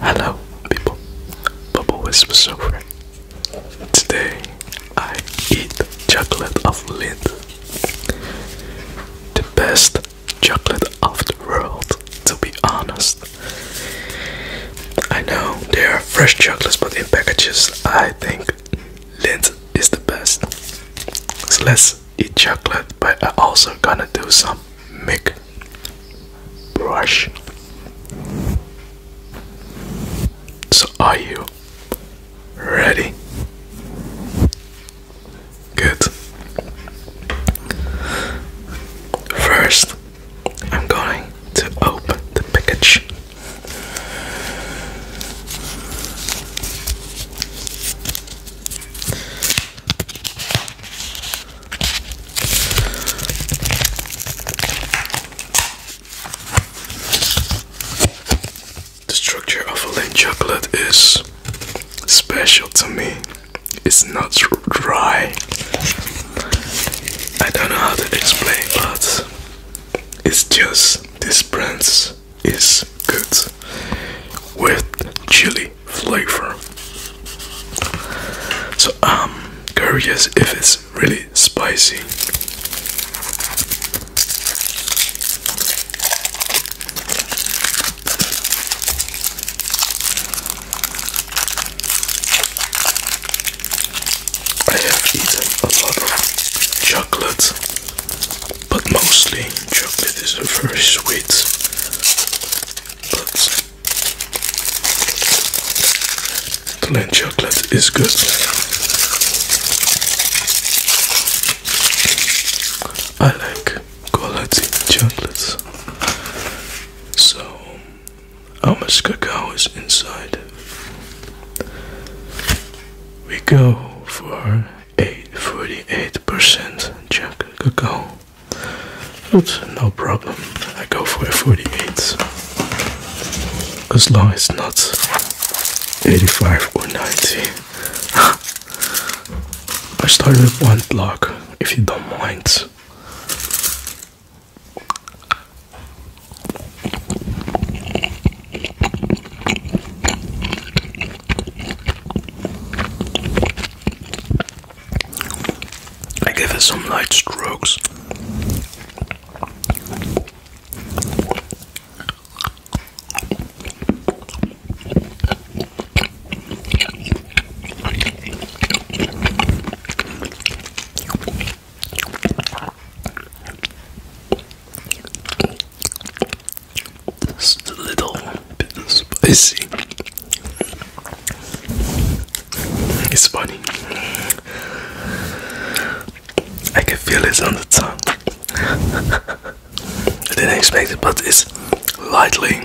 Hello, people. Bubble Whispers over. Today, I eat chocolate of Lindt, the best chocolate of the world. To be honest, I know there are fresh chocolates, but in packages, I think Lindt is the best. So let's eat chocolate, but I also gonna do some make brush. So, are you ready? Good. First, I'm going to open the package. The structure of a lint chocolate is special to me. It's not dry. I don't know how to explain, but it's just this brand is good with chili flavor. So I'm um, curious if it's really spicy. I have eaten a lot of chocolate, but mostly chocolate is very sweet. But Plain chocolate is good. I like quality chocolates. So, our much cacao is inside? We go for a 48% cacao. But no problem, I go for a 48 as long as not 85 or 90. I start with one block if you don't mind. I give it some light strokes. Just a little bit spicy. It's funny. I can feel it on the tongue. I didn't expect it, but it's lightly.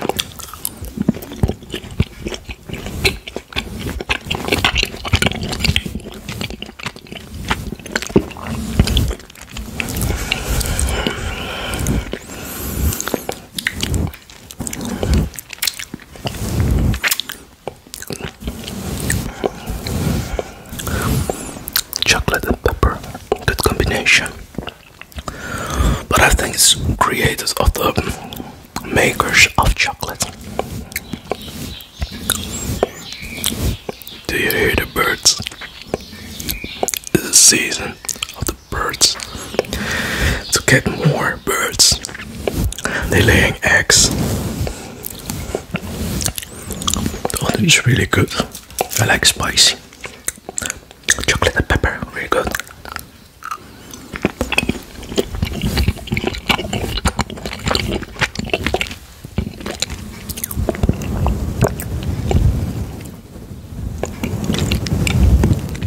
Chocolate and pepper, good combination. But I think it's creators of the makers of chocolate. Do you hear the birds? It's the season of the birds to get more birds. They're laying eggs. Oh, it's really good. I like spicy. Chocolate and pepper, really good.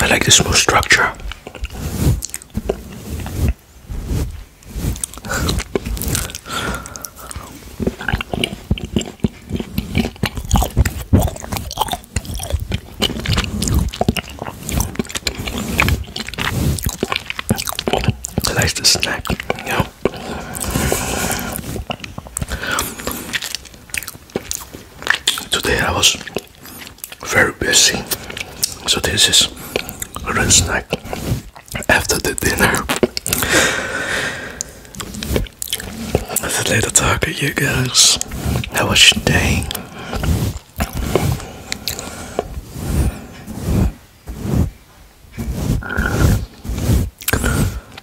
I like the smooth structure. I like snack, you Today I was very busy, so this is a snack after the dinner. It's a little talk to you guys. How was your day?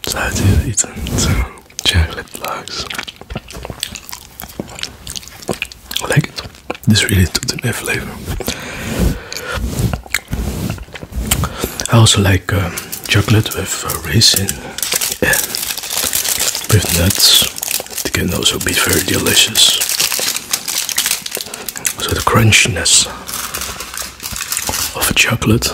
Sadece so, chocolate logs. I like it. This really took the flavor. I also like um, chocolate with uh, raisin and with nuts. It can also be very delicious. So the crunchiness of a chocolate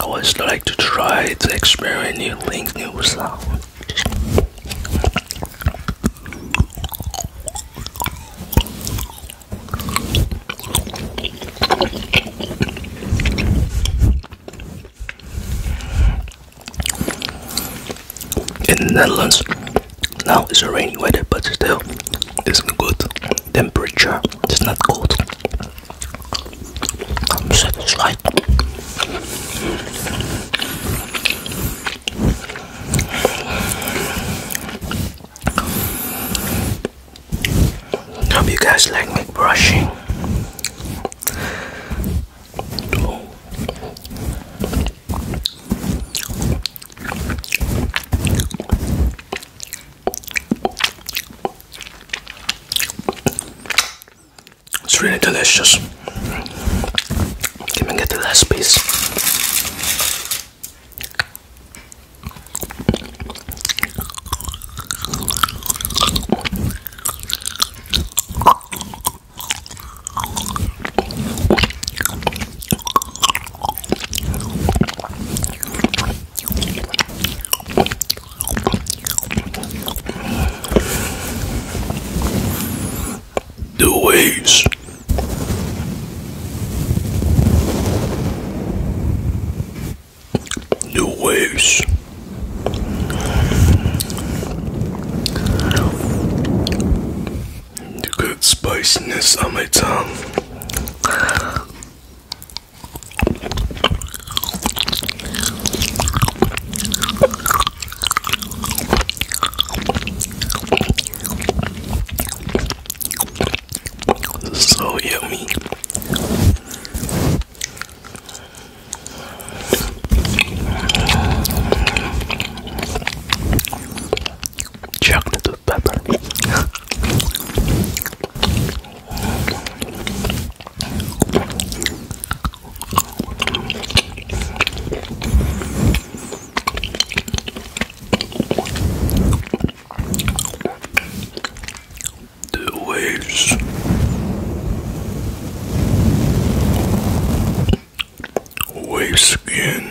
I always like to try to experiment new things, new sounds. In the Netherlands, now it's a rainy weather, but still, it's good temperature. It's not cold. I'm satisfied. Hope you guys like me brushing. It's really delicious. Can I get the last piece? The waves. The waves. The good spiciness on my tongue. So yummy. Chocolate with pepper. The waves waves again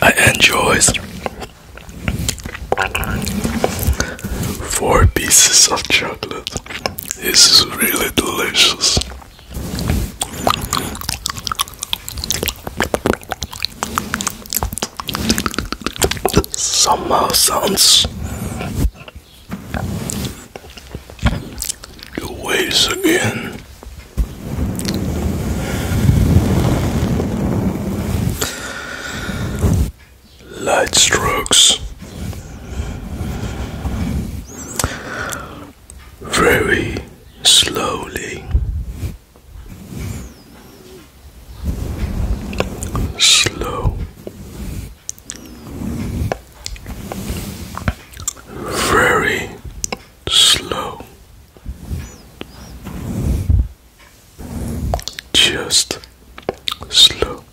I enjoys four pieces of chocolate. This is really delicious. Somehow sounds the waves again. Light strokes, very slowly slow, very slow, just slow,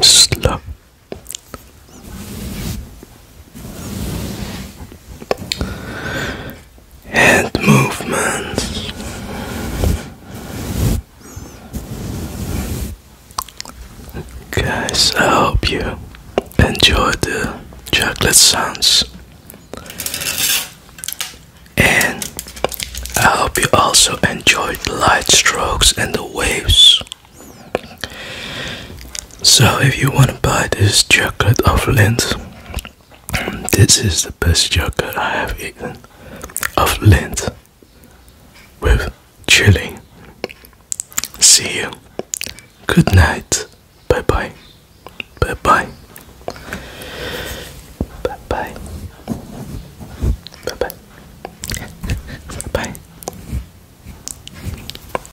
slap, Head movements. Guys, I hope you enjoyed the chocolate sounds. And I hope you also enjoyed the light strokes and the waves. So, if you want to buy this jacket of lint, this is the best jacket I have eaten of lint with chili. See you. Good night. Bye bye. Bye bye. Bye bye. Bye bye. bye, -bye.